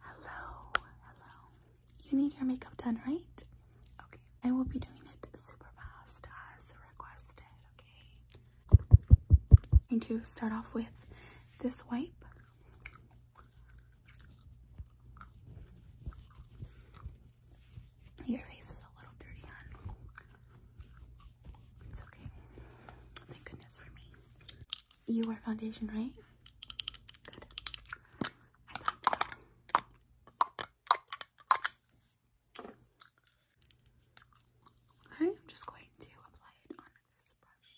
Hello, hello. You need your makeup done, right? Okay, I will be doing it super fast as requested, okay? i going to start off with this wipe. Your face is a little dirty, hon. It's okay. Thank goodness for me. You wear foundation, right? Good. I thought so. Okay, I'm just going to apply it on this brush.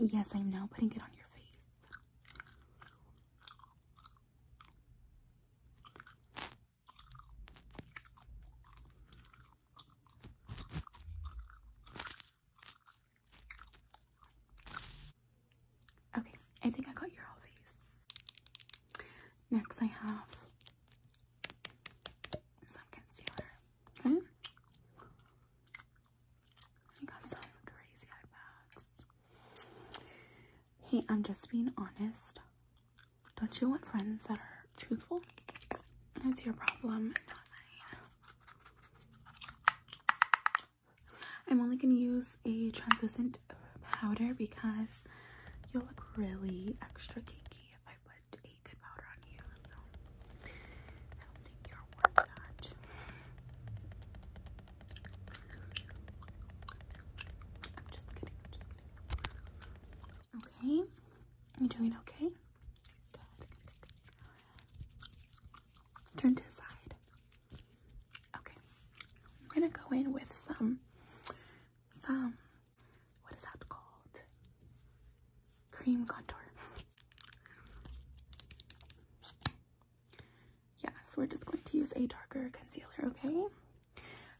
Okay. Yes, I'm now putting it on your face. Okay, I think I got your whole face. Next, I have some concealer. Okay, hmm? I got some crazy eye bags. Hey, I'm just being honest. Don't you want friends that are truthful? That's your problem, I'm only going to use a translucent powder because you'll look really extra cakey if I put a good powder on you. So don't think you're worth that. I'm Okay, you doing okay? Turn to the side. Okay, I'm gonna go in with some, some, what is that called? Cream contour. Yes, we're just going to use a darker concealer, okay?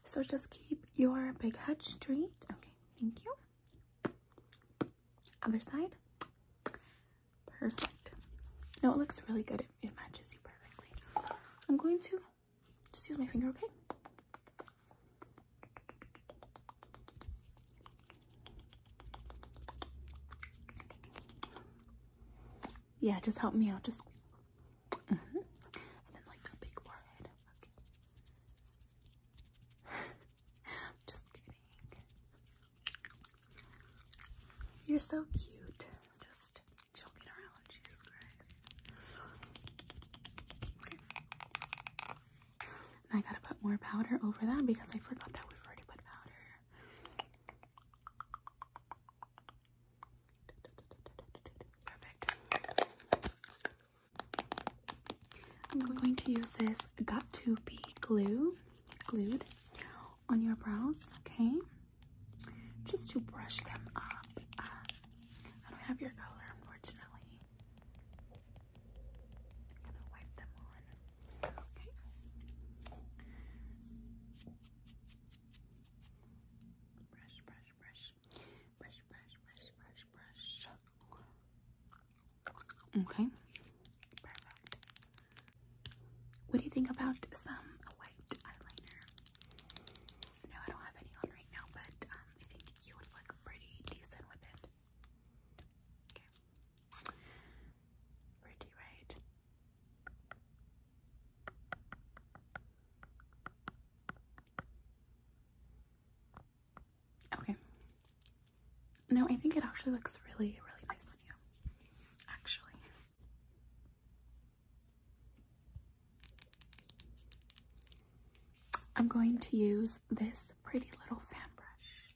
So just keep your big head straight. Okay, thank you. Other side. Perfect. No, it looks really good. it matches you perfectly. I'm going to just use my finger, okay? Yeah, just help me out. Just mm-hmm. You're so cute. Just joking around. Jesus Christ. Okay. I gotta put more powder over that because I forgot that we've already put powder. Perfect. I'm going to use this got to be glue, glued on your brows, okay? Just to brush them up. I don't have your color, unfortunately. I'm gonna wipe them on. Okay. Brush, brush, brush. Brush, brush, brush, brush, brush. Okay. What do you think about some white eyeliner? No, I don't have any on right now, but um, I think you would look pretty decent with it. Okay. Pretty, right? Okay. No, I think it actually looks really, really nice on you. Actually. I'm going to use this pretty little fan brush.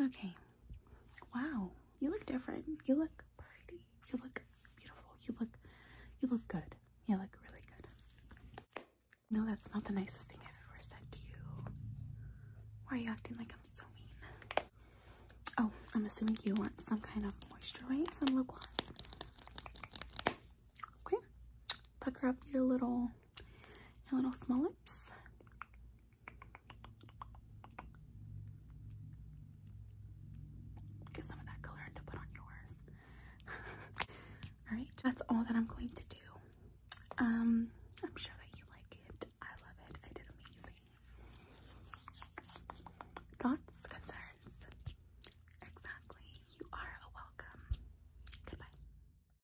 Okay. Wow. You look different. You look pretty. You look beautiful. You look you look good. You look really good. No, that's not the nicest thing I've ever said to you. Why are you acting like I'm so mean? Oh, I'm assuming you want some kind of moisture, right? Some lip gloss. Okay. Pucker up your little your little small lips. Get some of that color to put on yours. Alright, that's all that I'm going to do. Um, I'm sure that you like it. I love it. I did amazing. Thoughts, concerns? Exactly. You are welcome. Goodbye.